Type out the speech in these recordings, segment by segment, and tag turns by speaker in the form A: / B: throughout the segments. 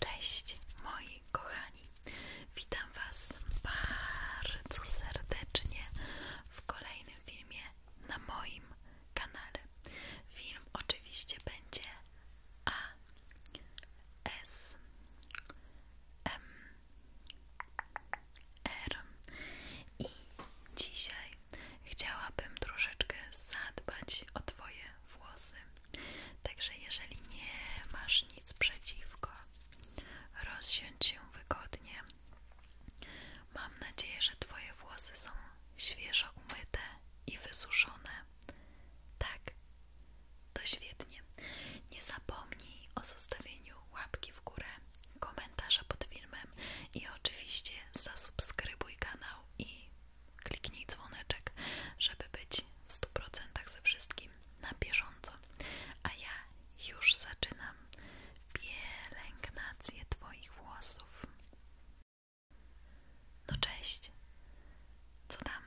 A: Cześć moi kochani, witam Was bardzo serdecznie w kolejnym filmie na moim kanale. Film oczywiście będzie A, S, M, R i dzisiaj chciałabym troszeczkę zadbać o Twoje włosy. Także jeżeli nie masz nic przeciwko, rozsiądź się wygodnie. Mam nadzieję, że Twoje włosy są świeżo umyte i wysuszone. Tak, to świetnie. Nie zapomnij o zostawieniu łapki w górę, komentarza pod filmem i oczywiście zasubskrybuj kanał i kliknij dzwoneczek, żeby być w 100% ze wszystkim na bieżąco. A ja już zaczynam pielęgnację Twoich włosów. No cześć, co tam?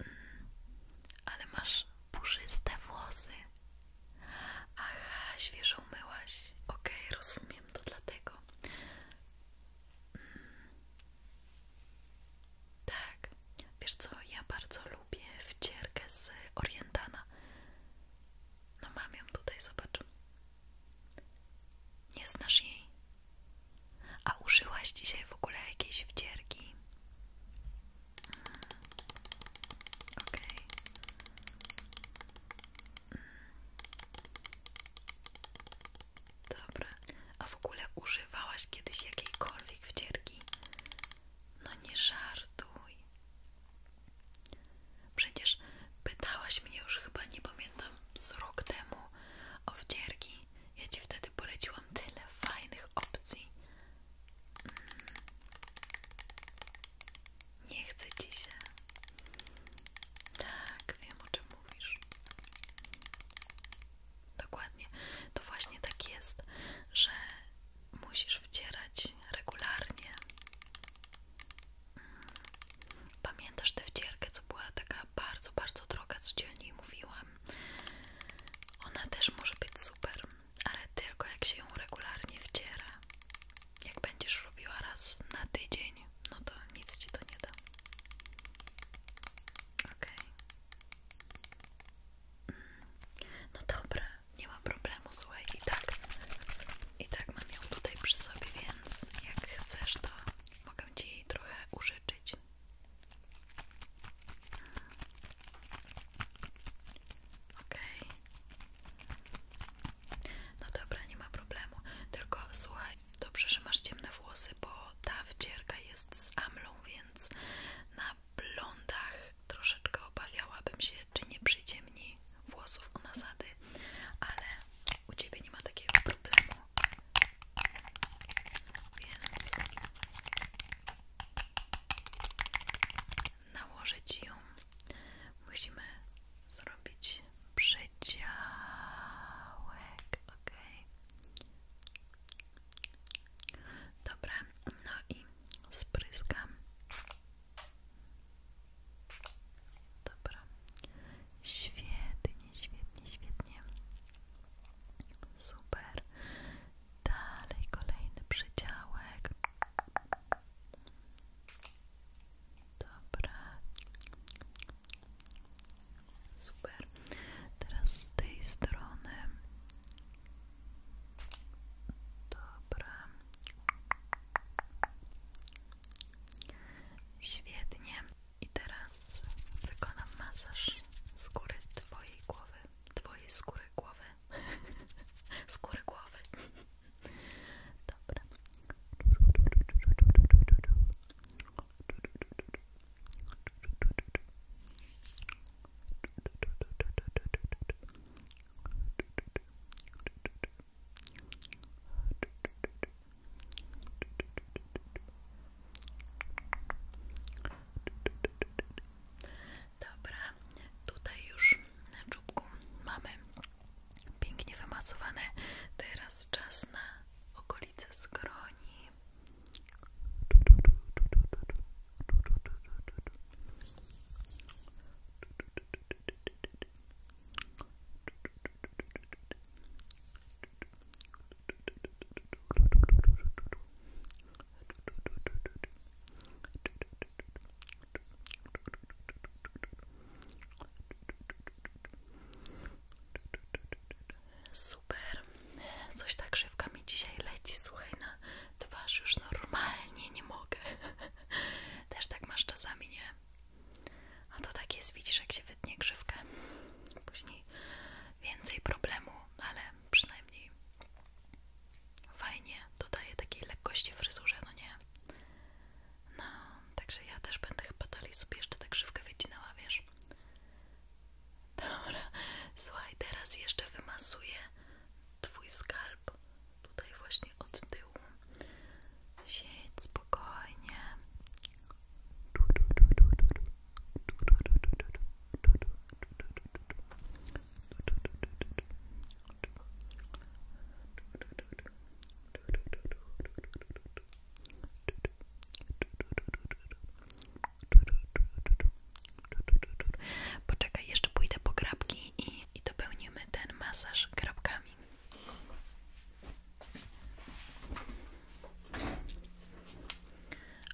A: Mm, ale masz puszyste włosy. Aha, świeżo umyłaś. Okej, rozumiem to dlatego. Tak, wiesz co, ja bardzo lubię wcierkę z Orientana. No mam ją tutaj, zobacz. Nie znasz jej? A użyłaś dzisiaj w ogóle jakiejś wcierki? Mm. Okej. Mm. Dobra. A w ogóle używałaś kiedyś jakiejkolwiek wcierki? No nie żartuj. Przecież pytałaś mnie już chyba, nie pamiętam, z rok temu o wcierki. Ja ci wtedy poleciłam tyle fajnych opcji. Mm. Nie chcę ci Tak, wiem o czym mówisz. Dokładnie. To właśnie tak jest, że musisz wcierać regularnie. Mm. Pamiętasz tę wcierkę, co była taka bardzo, bardzo droga, co ci o mówiłam? Ona też może być super, ale tylko jak się ją regularnie wciera. Jak będziesz robiła raz na tydzień, no to nic ci to nie da. ok, mm. No dobra, nie ma problemu, słuchaj, i tak, i tak mam ją tutaj przy sobie, więc jak chcesz, to mogę ci trochę użyczyć. ok. No dobra, nie ma problemu. Tylko słuchaj, dobrze, że masz ciemne włosy, bo ta wcierka jest z amlą, więc na blondach troszeczkę obawiałabym się, czy nie przyciemni włosów u nasady, ale u ciebie nie ma takiego problemu. Więc nałożę ci ją musimy zrobić przedziałek, ok? Dobra, no i spryskam. Dobra, świetnie, świetnie, świetnie. Super. Dalej kolejny przydziałek. Dobra. Super. Teraz tej strony. Dobra. Świetnie. I teraz wykonam masaż skóry twojej głowy. Twojej skóry głowy. skóry głowy. Dobra. tutaj już na czubku mamy Pięknie wymasowane. Teraz czas na okolice skroni. Super. Coś tak żywka mi dzisiaj leci, słuchaj, na twarz już normalnie nie mogę. Też tak masz czasami, nie? A to tak jest, widzisz, jak się wytnie grzywkę. Później więcej problemu, ale przynajmniej fajnie dodaje takiej lekkości w fryzurze, no nie? No, także ja też będę chyba dalej sobie jeszcze tak szybko wycinała, wiesz? Dobra, słuchaj, teraz jeszcze wymasuję twój skalp tutaj właśnie od tyłu. Siedź spokojnie. Poczekaj, jeszcze pójdę po grabki i, i dopełnimy ten masaż grabkami.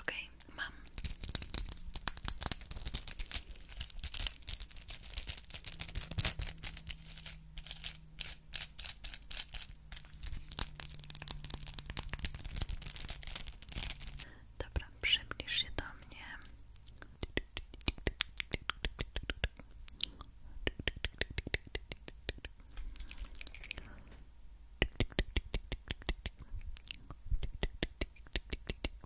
A: Okej, mam. Dobra, przybliż się do mnie.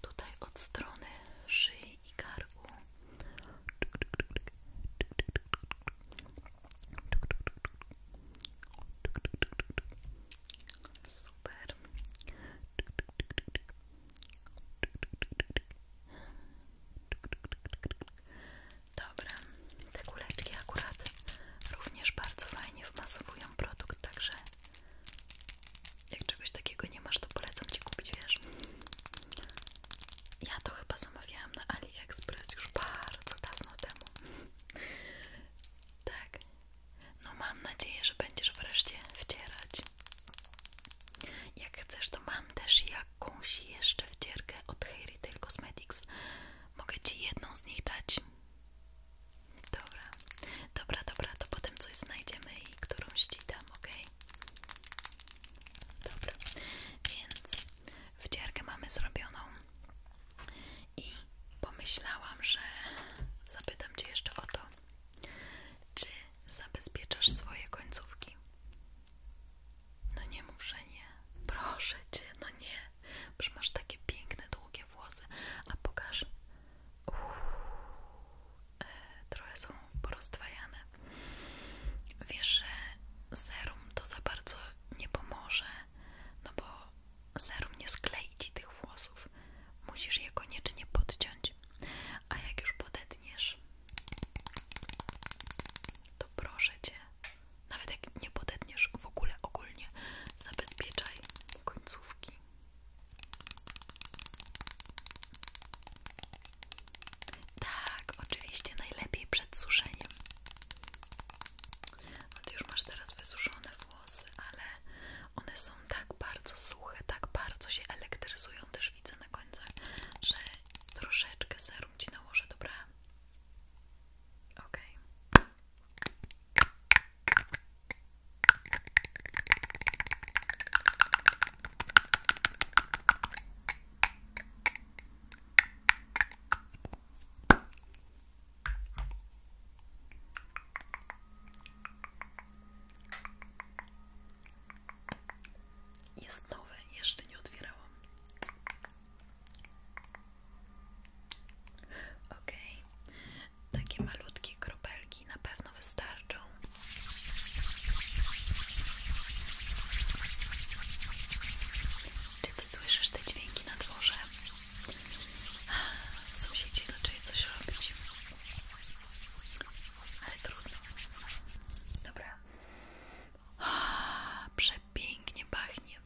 A: tutaj od strony szyi i karku. Super. Dobra, te kuleczki akurat również bardzo fajnie wmasowują produkt, także jak czegoś takiego nie masz, to polecam Ci kupić, wiesz? Ja to chyba zamawiałam na AliExpress już bardzo dawno temu. Tak. No mam nadzieję, że będziesz wreszcie wcierać. Jak chcesz, to mam też jakąś jeszcze wcierkę od Hair Retail Cosmetics. Mogę Ci jedną z nich dać. Dobra, dobra, dobra, to potem coś znajdziemy i którąś ci dam, ok? Dobra, więc wdzierkę mamy zrobioną i pomyślałam, że zapytam cię jeszcze o to, czy zabezpieczasz swoje końcówki? No nie mów, że nie. Proszę cię, no nie. Bo masz takie piękne, długie włosy. A pokaż Uff, e, trochę są poroztwajane. Wiesz, że serum to za bardzo nie pomoże, no bo serum nie sklei ci tych włosów. Musisz je koniecznie podciąć. A jak już podetniesz, to proszę cię, nawet jak nie podetniesz w ogóle ogólnie, zabezpieczaj końcówki. Tak, oczywiście najlepiej przed suszeniem. No już masz teraz wysuszone włosy, ale one są tak bardzo suche, tak bardzo się elektryzują, też widzę na końcach, że troszeczkę serum ci nałożę, dobra? Okej. Jest nowe, jeszcze nie otwierałam. Okej, takie malutkie kropelki na pewno wystarczą. Czy ty słyszysz te dźwięki na dworze? Sąsiedzi zaczęli coś robić. Ale trudno. Dobra. Przepięknie pachnie.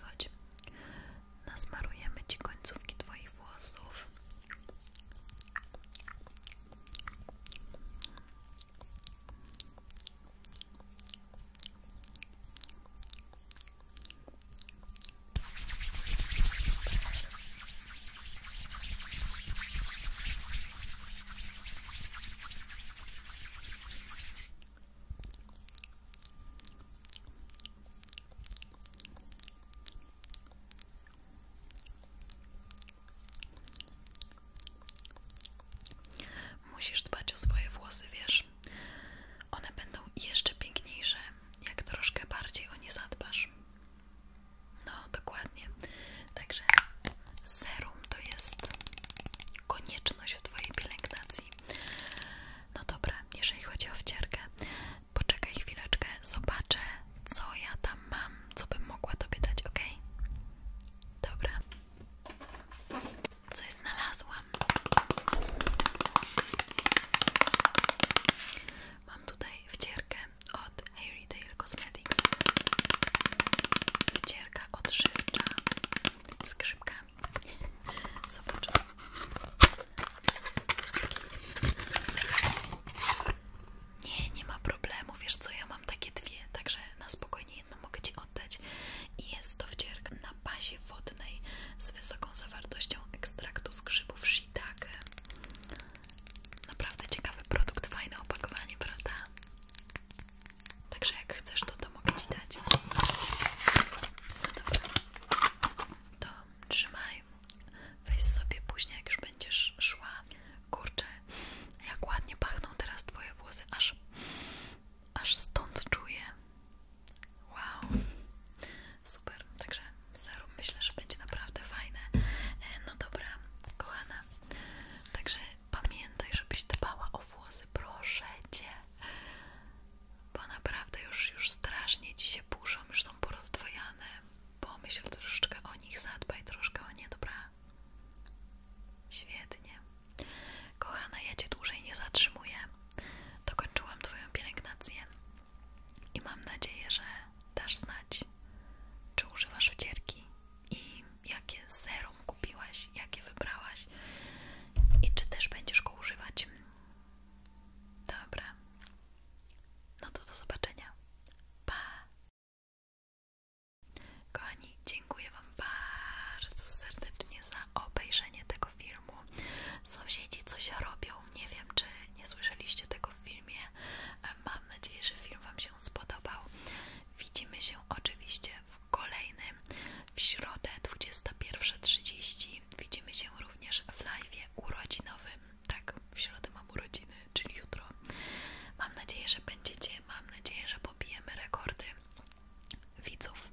A: Chodź. Nasmarujemy ci końcówki twoich włosów. Musisz dbać o swoje włosy, wiesz? One będą jeszcze piękniejsze, jak troszkę bardziej o nie zadbasz. No, dokładnie. Także serum to jest konieczność w Twojej pielęgnacji. No dobra, jeżeli chodzi o wcierkę, poczekaj chwileczkę, zobaczę co ja tam mam, co bym mogła Tobie ok? Dobra. Co ja znalazłam? Mam tutaj wcierkę od Harry Dale Cosmetics. Wcierka odżywcza z grzybkami. Zobaczymy. Nie, nie ma problemu. Wiesz co, ja mam takie dwie, także na spokojnie jedną mogę Ci oddać. I jest to wcierk na bazie wodnej z wysoką zawartością ekstraktu z grzybów Naprawdę ciekawy produkt, fajne opakowanie, prawda? Także jak chcesz, to to mogę Ci dać. No dobra to trzymaj, weź sobie później, jak już będziesz szła. Kurczę, jak ładnie pachną teraz twoje włosy, aż, aż stąd czuję. Wow, super, także serum myślę, że będzie naprawdę fajne. E, no dobra, kochana, także pamiętaj, żebyś dbała o włosy, proszę cię bo naprawdę już, już strasznie ci się burzą, już są porozdwojane. Pomyśl troszeczkę o nich, zadbaj troszkę o nie, dobra? Świetnie. Kochana, ja cię dłużej nie zatrzymuję. Dokończyłam twoją pielęgnację i mam nadzieję, że dasz znać, czy używasz wcierki i jakie serum kupiłaś, jakie wybrałaś i czy też będziesz go używać. Dobra. No to do zobaczenia. Pa! Kochani, dziękuję Wam bardzo serdecznie za obejrzenie tego filmu. Sąsiedzi coś robią. Nie wiem, czy nie słyszeliście tego w filmie. E, mam nadzieję, że film Wam się spodobał. Widzimy się oczywiście w kolejnym w środę 21.30 widzimy się również w live urodzinowym. Tak, w środę mam urodziny, czyli jutro. Mam nadzieję, że będziecie, mam nadzieję, że pobijemy rekordy widzów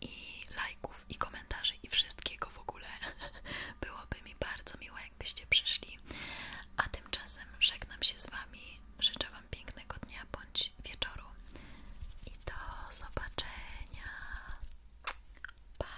A: i lajków i komentarzy i wszystkiego w ogóle. Byłoby mi bardzo miło, jakbyście przyszli. A tymczasem żegnam się z Wami. Życzę Wam pięknego dnia bądź wieczoru. I do zobaczenia. Pa.